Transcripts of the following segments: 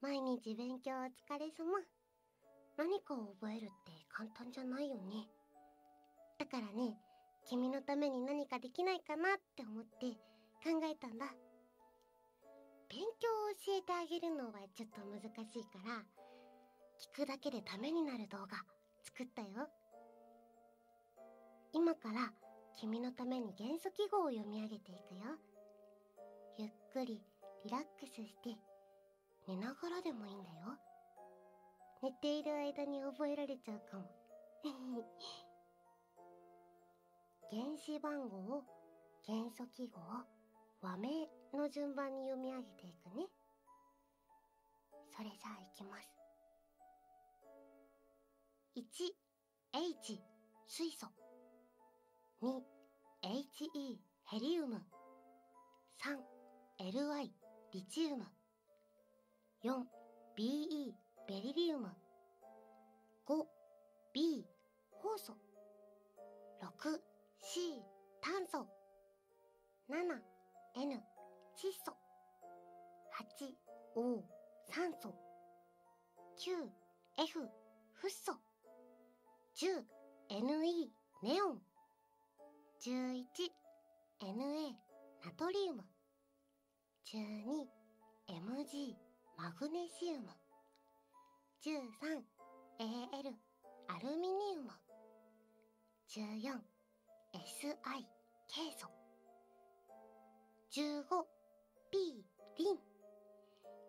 毎日勉強お疲れ様何かを覚えるって簡単じゃないよねだからね君のために何かできないかなって思って考えたんだ勉強を教えてあげるのはちょっと難しいから聞くだけでためになる動画作ったよ今から君のために元素記号を読み上げていくよゆっくりリラックスして寝ながらでもいいんだよ寝ている間に覚えられちゃうかも 原子番号を元素記号和名の順番に読み上げていくねそれじゃあいきます1 H 水素 2HE ヘリウム3 l y リチウム 4BE ベリリウム 5B 酵素 6C 炭素 7N 窒素 8O 酸素 9F フッ素 10NE ネオン 11Na ナトリウム 12Mg マグネシウム 13Al アルミニウム 14Si ケイ素15 P りん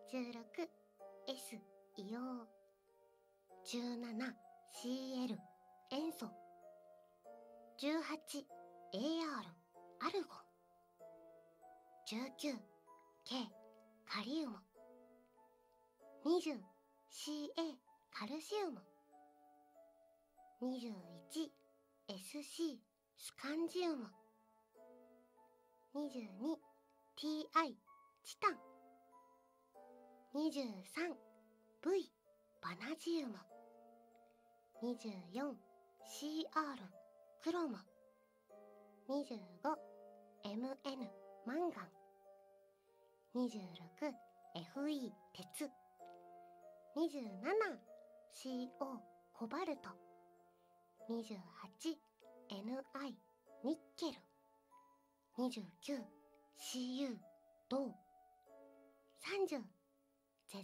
16S 硫黄 17CL 塩素 18AR アルゴ 19K カリウム 20CA カルシウム 21SC スカンジウム 22TI チタン 23V バナジウム 24CR クロム 25MN マンガン 26FE 鉄 27CO コバルト 28Ni ニッケル 29Cu 銅 30ZN 亜鉛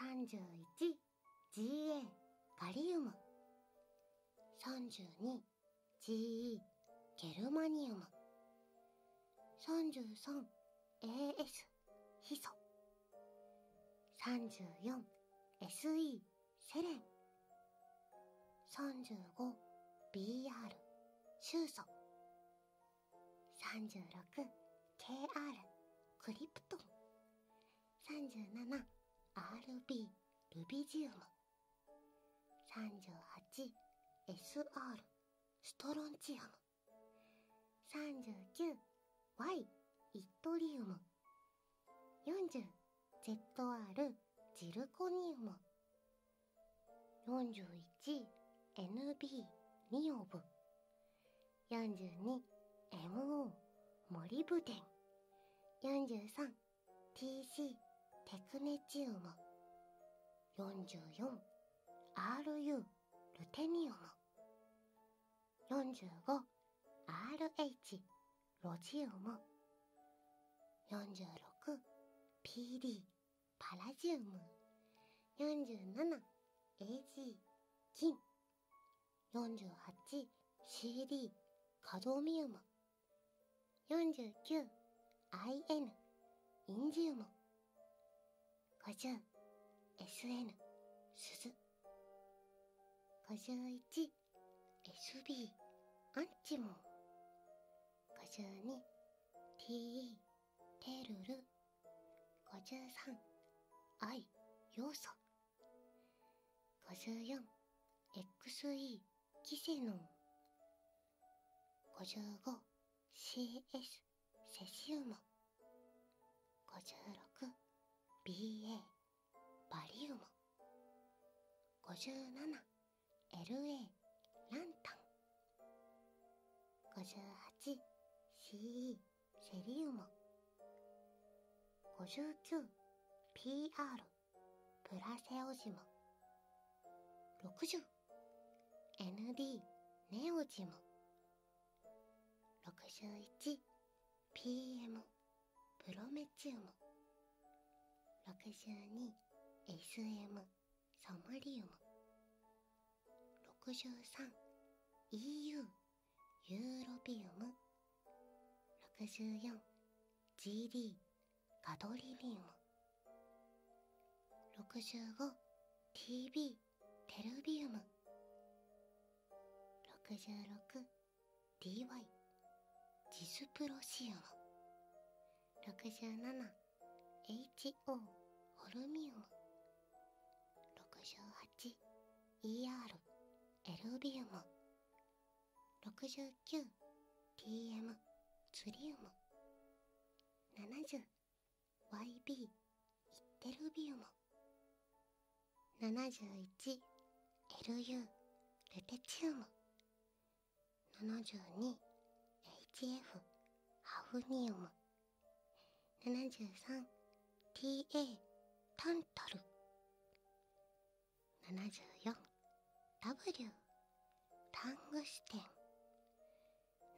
31Ga ガリウム 32Ge ゲルマニウム 33AS ヒソ 34SE セレン 35BR シュウソ 36KR クリプトン 37RB ルビジウム 38SR ストロンチアム 39Y イットリウム 40ZR ジルコニウム 41NB ニオブ 42MO モリブデン 43TC テクネチウム 44RU ルテニウム 45RH ロジウム 46PD パラジウム 47AG 金 48CD カドミウム 49IN インジウム 50SN 鈴51 SB アンチモン52 TE テルル53 I 要素54 XE キセノン 55CS セシウム 56BA バリウム 57LA ランタン 58CE セリウム 59PR プラセオジモ。60 ND ネオジム 61PM プロメチウム 62SM ソムリウム 63EU ユーロビウム 64GD ガドリニウム 65TB テルビウム 66DY ジスプロシウム 67HO ホルミウム 68ER エルビウム 69TM ツリウム70 YB イッテルビウム 71LU ルテチウム 72HF ハフニウム 73TA タントル 74W タングステン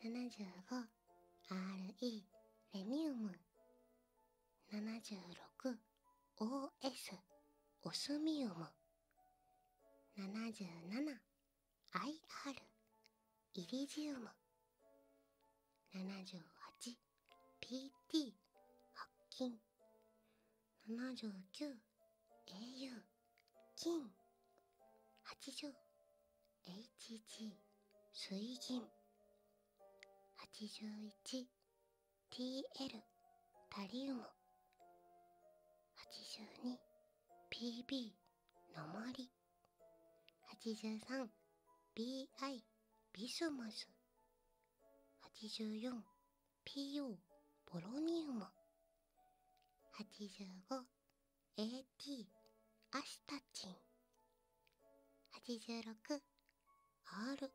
75RE レニウム 76OS オスミウム 77IR イリジウム 78PT 白金 79au 金 80HG 水銀 81TL タリウム 82PB のもり 83BI ビスマス 84PO ボロニウム85 AT アシタチン 86RN ラ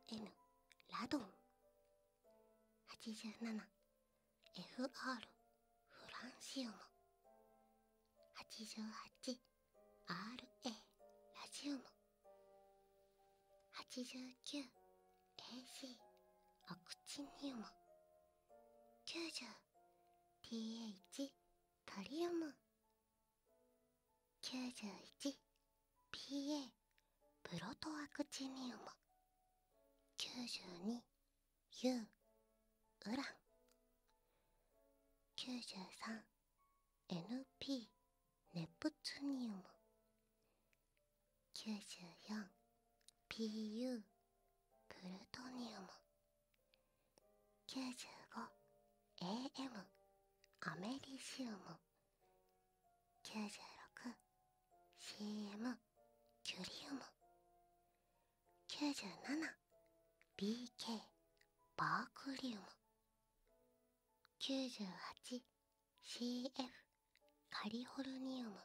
ドン 87FR フランシウム 88RA ラジウム 89AC オクチニウム90 pH トリウム 91PA プロトアクチニウム 92U ウラン 93NP ネプツニウム 94PU プルトニウム 95AM アメリシウム 96CM キュリウム 97BK バークリウム 98CF カリフォルニウム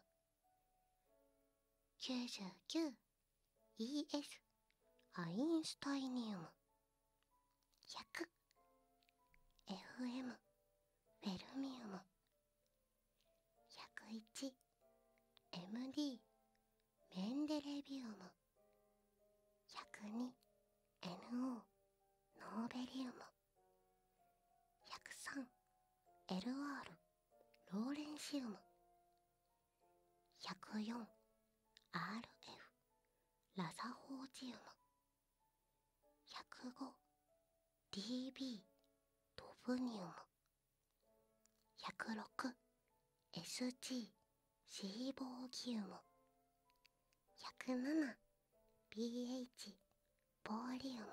99ES アインシュタイニウム 100FM フェルミウム 101MD メンデレビウム 102NO ノーベリウム 103LR ローレンシウム 104RF ラザホージウム 105DB ドブニウム 106SG シーボーギウム 107BH ボーリウム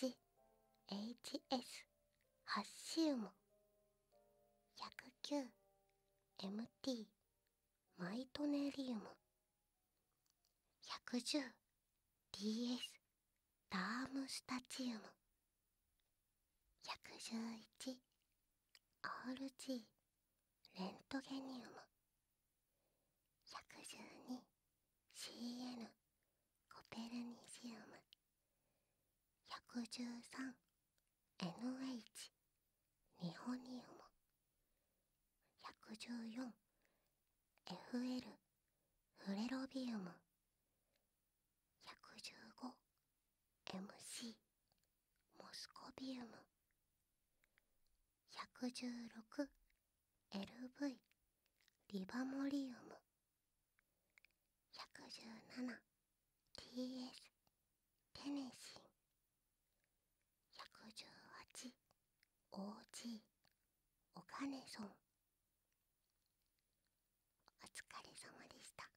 108HS ハッシウム 109MT マイトネリウム 110DS ダームスタチウム 111RG レントゲニウム 112CN コペルニシウム 113NH ニホニウム 114FL フレロビウム 115MC モスコビウム116 LV リバモリウム 117TS テネシン 118OG オガネソンお疲れ様でした